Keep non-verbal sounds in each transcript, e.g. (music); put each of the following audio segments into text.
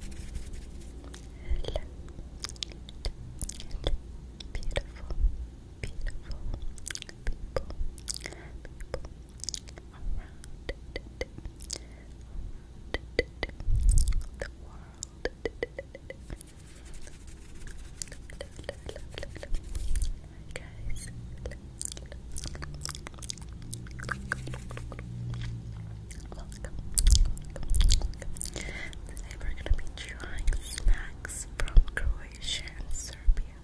Hello. Hello. Beautiful, beautiful people, around the world. Hi guys. Today we're gonna be trying snacks from Croatia and Serbia.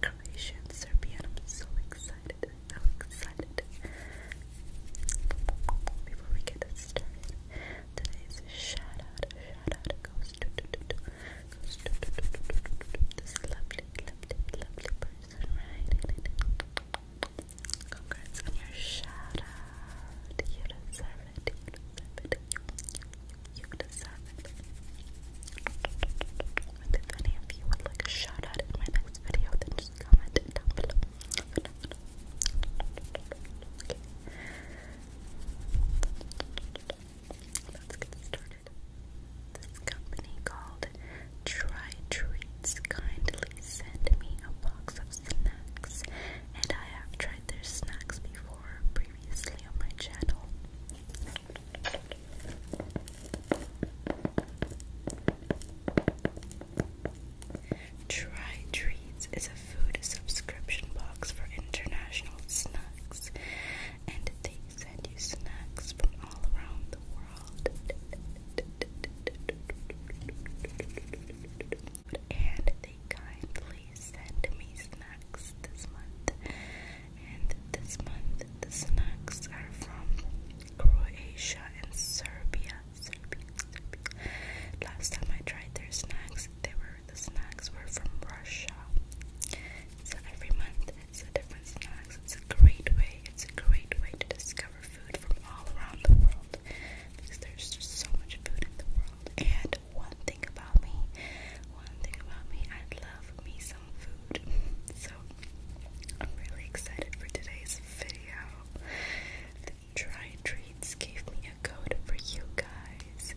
Croatia and Serbia, I'm so excited, so excited. Before we get started, today's shout goes to, to, to, to, to, to, to, to, to, to, this lovely, lovely, lovely person right in Congrats on your shout out. You deserve it. You deserve if you would like a shout in my next video, then just comment down below. Let's get started. This company called Try treats kindly send me a box of snacks, and I have tried their snacks before previously on my channel. Try Treats is a food subscription box for international snacks, and they send you snacks from all around the world world. And they kindly sent me snacks this month. And this month, the snacks are from Croatia and Serbia. Serbia, Last time I tried their snacks, they were the snacks were from Russia. So every month it's different snacks. It's a great way. It's a great way to discover discover food from all around the world because there's just so much food in the world. And one thing about me, one thing about me, I love me some food. (laughs) So I'm really excited for today's video. The Try Treats gave me a code for you guys.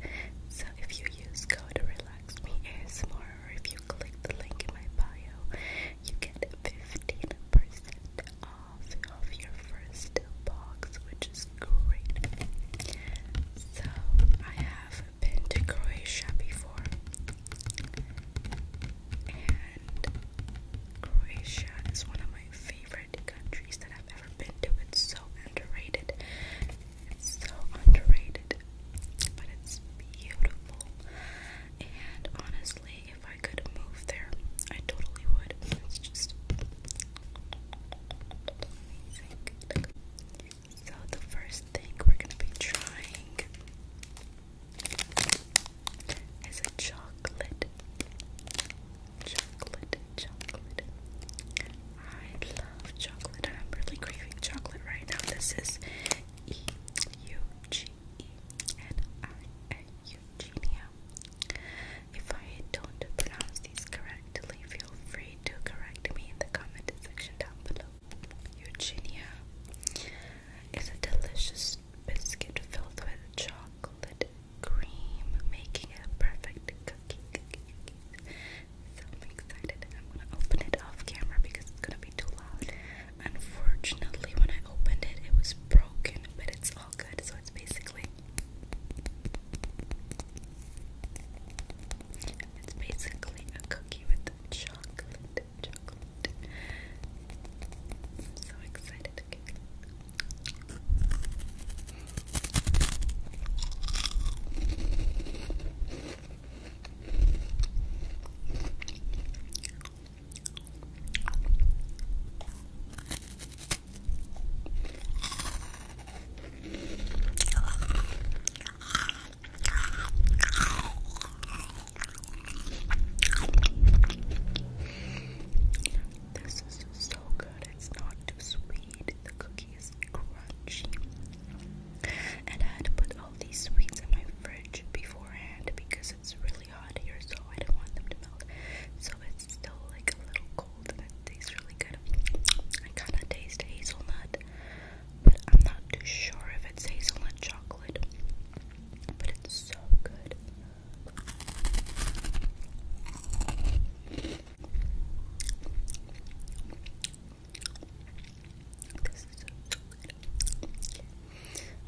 So if you use code relax me ASMR click the link in my bio, you get 15% off of your first box, which is great. So, I have been to Croatia before, and Croatia is one of my favorite countries that I've ever been to. It's so underrated. so underrated, but it's beautiful. And honestly, if I could move there, I totally would. It's just So, the first thing we're gonna be trying is chocolate. Chocolate, chocolate. I love chocolate, I'm really craving chocolate right now. This is E U G Eugenia. If I don't pronounce these correctly, feel free to correct me in the comment section down below. Eugenia is a delicious biscuit filled with chocolate cream, making it a perfect cookie. So I'm excited. I'm gonna open it off camera because it's gonna be too loud. Unfortunately, when I opened it, it was broken, but it's all good. So it's basically it's basically a cookie with chocolate, chocolate. I'm so excited. Okay. This is so good. It's not too sweet. The cookie is crunchy. And I had to put all these sweets in my fridge beforehand because it's really hot here, so I didn't want them to melt. So it's still like a little cold and it tastes really good. I kind of taste hazelnut, but I'm not too sure if it's hazelnut chocolate. But it's so good. I'm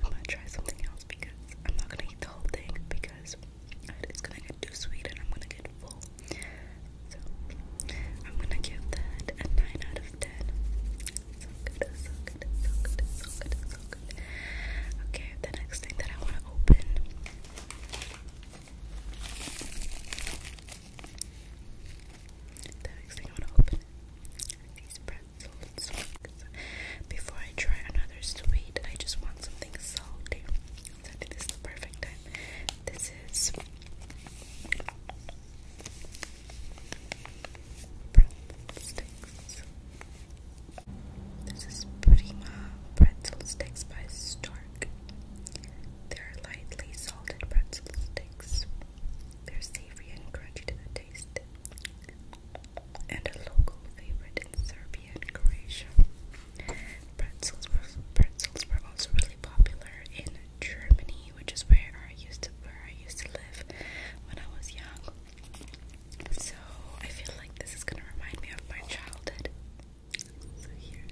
gonna try something else because I'm not gonna eat the whole thing because it's gonna get too sweet and I'm gonna get full. So I'm gonna give that a 9 out of 10. So good, so good, so good, so good, so good. Okay, the next thing that I wanna open the next thing I want to open are these pretzel sticks. Before I try another sweet, I just want something salty. I think this is the perfect time. This is pretzel sticks. This is Prima pretzel sticks by Stark. They're lightly salted pretzel sticks. They're savory and crunchy to the taste, and a local favorite in Serbia and Croatia. Pretzels were, also really popular in Germany, which is where I used to where I used to live when I was young. So I feel like this is gonna remind me of my childhood. So here's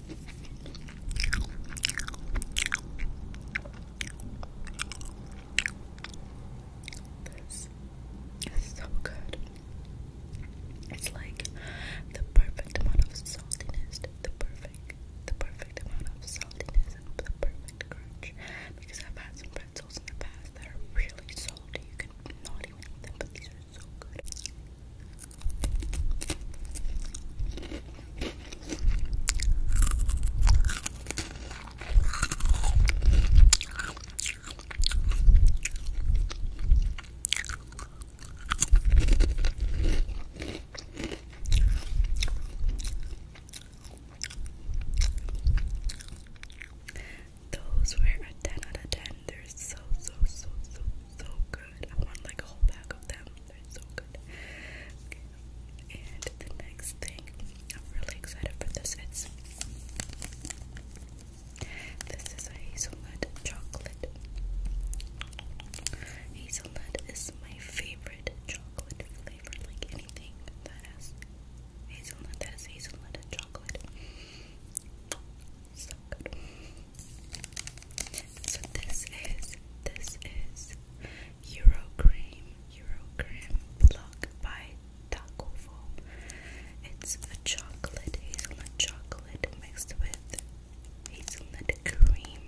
This is so good. It's like the perfect amount of saltiness, the perfect, the perfect amount of saltiness the perfect crunch. Because I've had some pretzels in the past that are really salty. You can not even eat them, but these are so good. Those were a 10 out of 10. They're so, so, so, so, so good. I want like a whole pack of them. They're so good. And the next thing I'm really excited for this is this is hazelnut chocolate. Hazelnut is my favorite chocolate flavor, like anything that has hazelnut, that is hazelnut chocolate. So good. So this is this is Euro Cream Block by Takovo. It's a chocolate hazelnut chocolate mixed with hazelnut cream.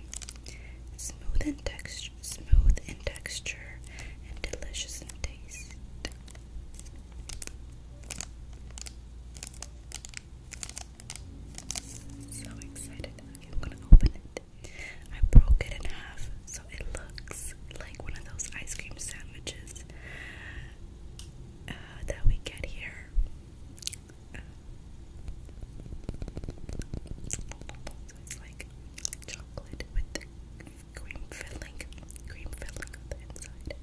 Smooth in texture, smooth in texture, and delicious in taste. So excited. I'm gonna open it. I broke it in half, so it looks like one of those ice cream sandwiches uh, that we get here. it's like chocolate with cream filling, cream filling on the inside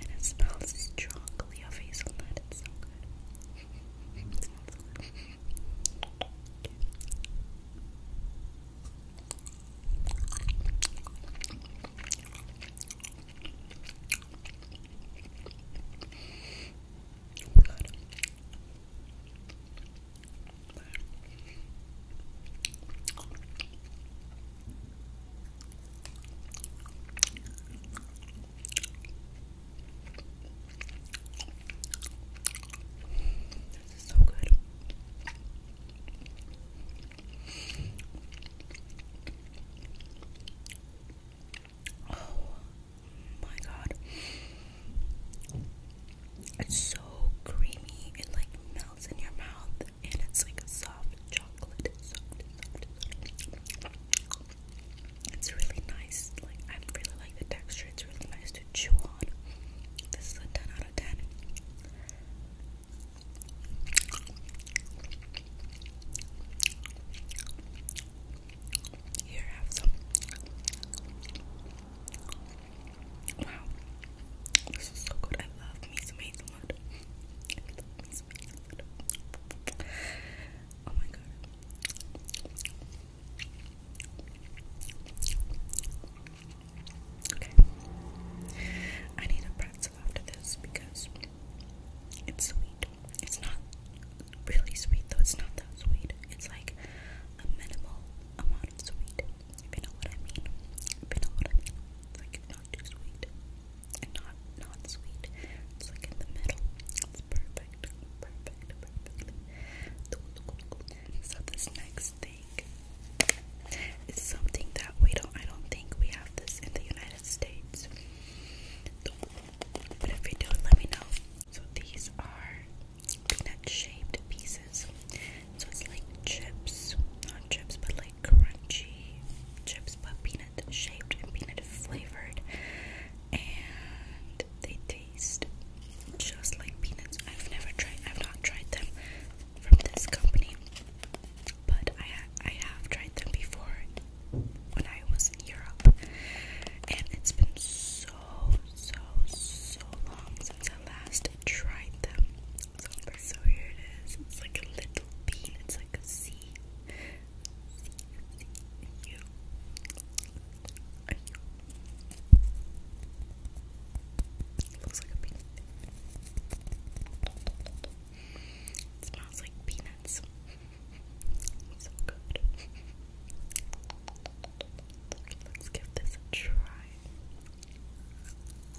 and it smells strongly of hazelnut. It smells good. Oh my god. This is so good. Oh my god. It's so creamy. It like melts in your mouth and it's like a soft chocolate. It's really nice. Like I really like the texture. It's really nice to chew on. This is a ten out of ten. Here, have some. Wow, this is so good. I love me some hazelnut. Oh my god. Okay. I need a pretzel after this because it's sweet. It's not really sweet though, it's not that sweet. It's like a minimal amount of sweet. If you know what I mean. If you know what I mean. like not too sweet not not sweet. It's like in the middle. It's perfect, perfect, perfect. So this next thing is something that we don't. I don't think we have this in the United States. But if we do, let me know. So these are peanut-shaped pieces. So it's like chips, not chips, but like crunchy chips, but peanut shaped and peanut flavored, and they taste just like peanuts. I've never tried, I've not tried them from this company, but I I have tried them before when I was in Europe, and it's been so so so long since I last tried them. So here it is. It's like a little bean. It's like a C. C, C, U. Looks like a peanut. It smells like peanuts. (laughs) so good. Let's give this a try.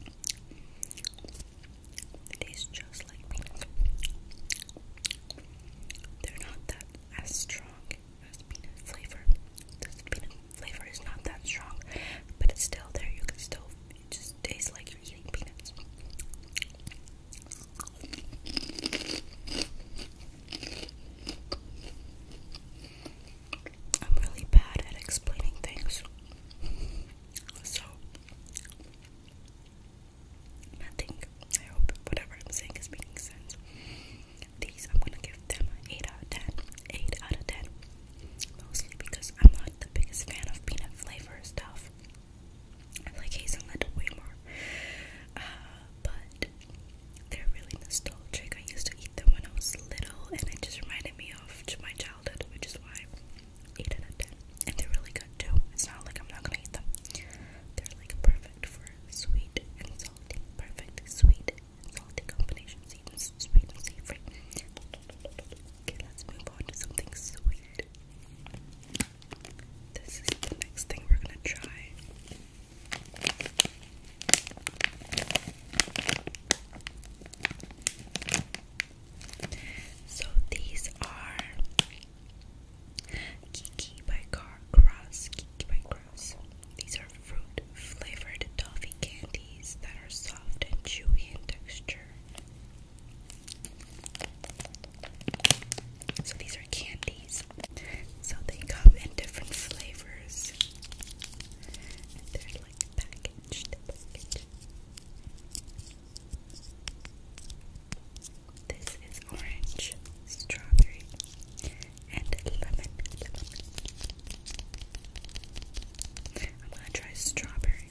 It tastes just like peanuts. They're not that as strong as peanut flavor. This peanut flavor is not that strong, but it's still there. You can still just tastes like you're eating peanuts. I'm really bad at explaining things. So, I think, I hope whatever I'm saying is making sense. These, I'm gonna give them an 8 out of 10. 8 out of 10. Mostly because I'm not the biggest fan of peanut flavor stuff. I like hazelnut way more. Uh, but they're really nostalgic. I used to eat ate them when I was little, and it just reminded me of to my childhood, which is why eight out of ten. And they're really good too. It's not like I'm not gonna eat them. They're like perfect for sweet and salty, perfect sweet and salty combinations, even sweet and savory. Okay, let's move on to something sweet. This is the next thing we're gonna try. So these are Kiki by Car Cross. Kiki by Cross. These are fruit flavored toffee candies that are soft and chewy in texture. So these are candies. So they come in different flavors. And they're like packaged, packaged. This is orange, strawberry, and lemon. I'm gonna try strawberry.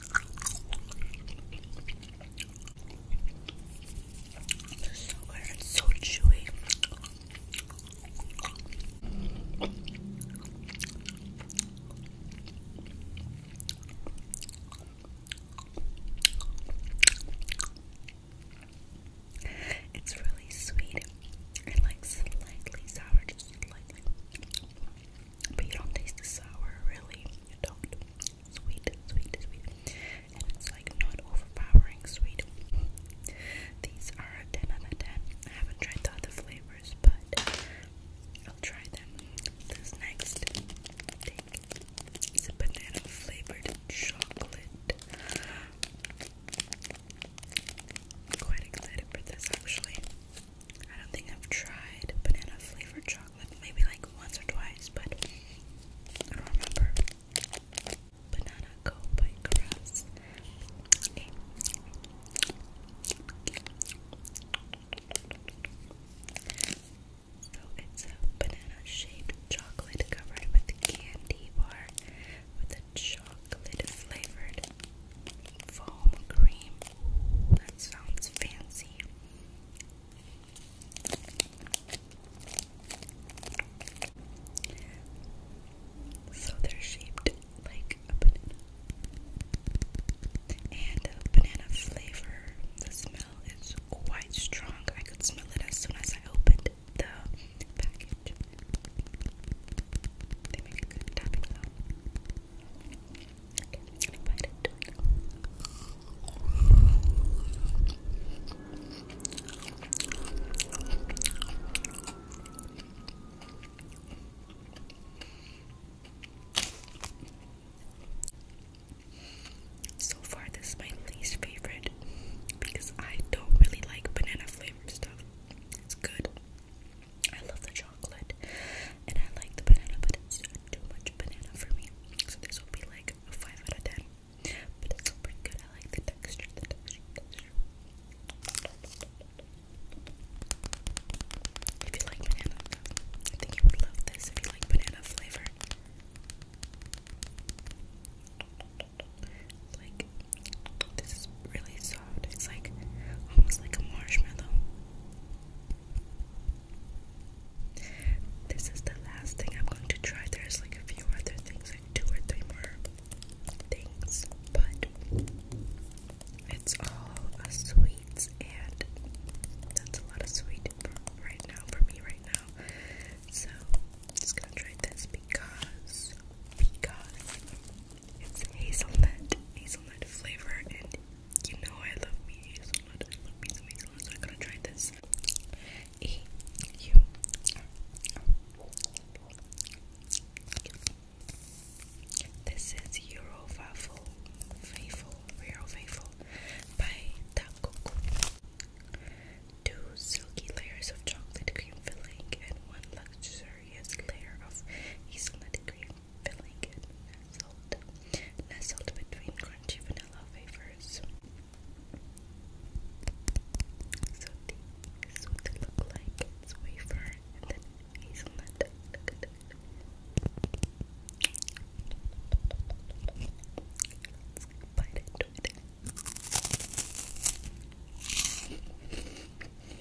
so good. It's so chewy. It's really sweet and like slightly sour, just slightly. But you don't taste the sour, really. You don't. Sweet, sweet, sweet. And it's like not overpowering sweet. These are a 10 out of 10. I haven't tried the other flavors, but I'll try them. This next take is a banana flavored chocolate. I'm quite excited for this actually. I don't think I've tried banana flavored chocolate, maybe like once or twice, but I don't remember. Banana Co by So it's a banana shaped chocolate covered with candy bar with a chocolate flavored Foam cream. That sounds fancy. So they're shaped like a banana. And banana flavor. The smell is quite strong. I could smell it as soon as I opened the package. They make a good tapping sound. So far, this is my least favorite because I don't really like banana flavored stuff. It's good, I love the chocolate and I like the banana, but it's too much banana for me. So this will be like a 5 out of 10. But it's still pretty good. I like the texture, the texture, the texture. If you like banana, I think you would love this if you like banana flavor. Like, this is really so it's like almost like a marshmallow. This is the last thing I'm going to try. There's like a few other things, like two or three more things, but it's all sweets, and that's a lot of sweet right now for me right now. So I'm just gonna try this because because it's hazelnut, hazelnut flavor, and you know I love me hazelnut. I love me hazelnut, so I'm gonna try this. This is Euro Waffle, Faithful, Euro Faithful by Takoko. Two silky layers of chocolate cream filling and one luxury luxurious layer of hazelnut cream filling and nestled, nestled between crunchy vanilla flavors. So these is what they look like. It's wafer and then hazelnut. Let's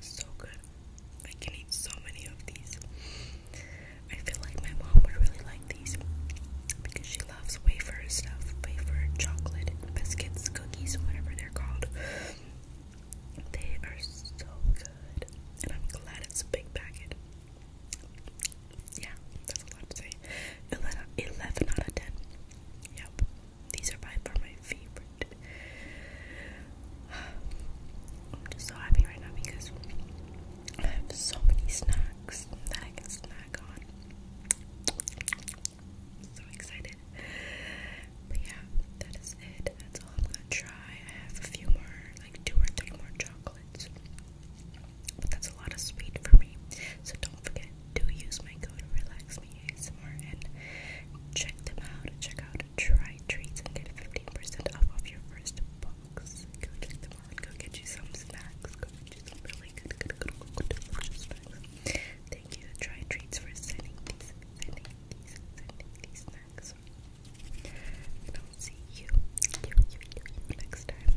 So good. I can eat so many of these. I feel like my mom would really like these because she loves wafer stuff, wafer, chocolate, biscuits, cookies, whatever they're called. They are so good, and I'm glad it's a big packet yeah, that's a lot to say. 11, out of 10. Yep, these are by far my favorite. (sighs) I'm just so happy right now because I have so many snacks that I can snack on. So excited. But yeah, that is it. That's all I'm gonna try. I have a few more, like two or three more chocolates. But that's a lot of sweet for me. So don't forget to use my code RelaxMeASMR and check them out. Check out Try Treats and get 15% off your first box. Go check them out. Go get you some snacks. Go get you some really good, good, good, good, good snacks. Thank you, Try Treats, for sending these, sending these, sending these snacks. And I'll see you, you, you, you, you next time.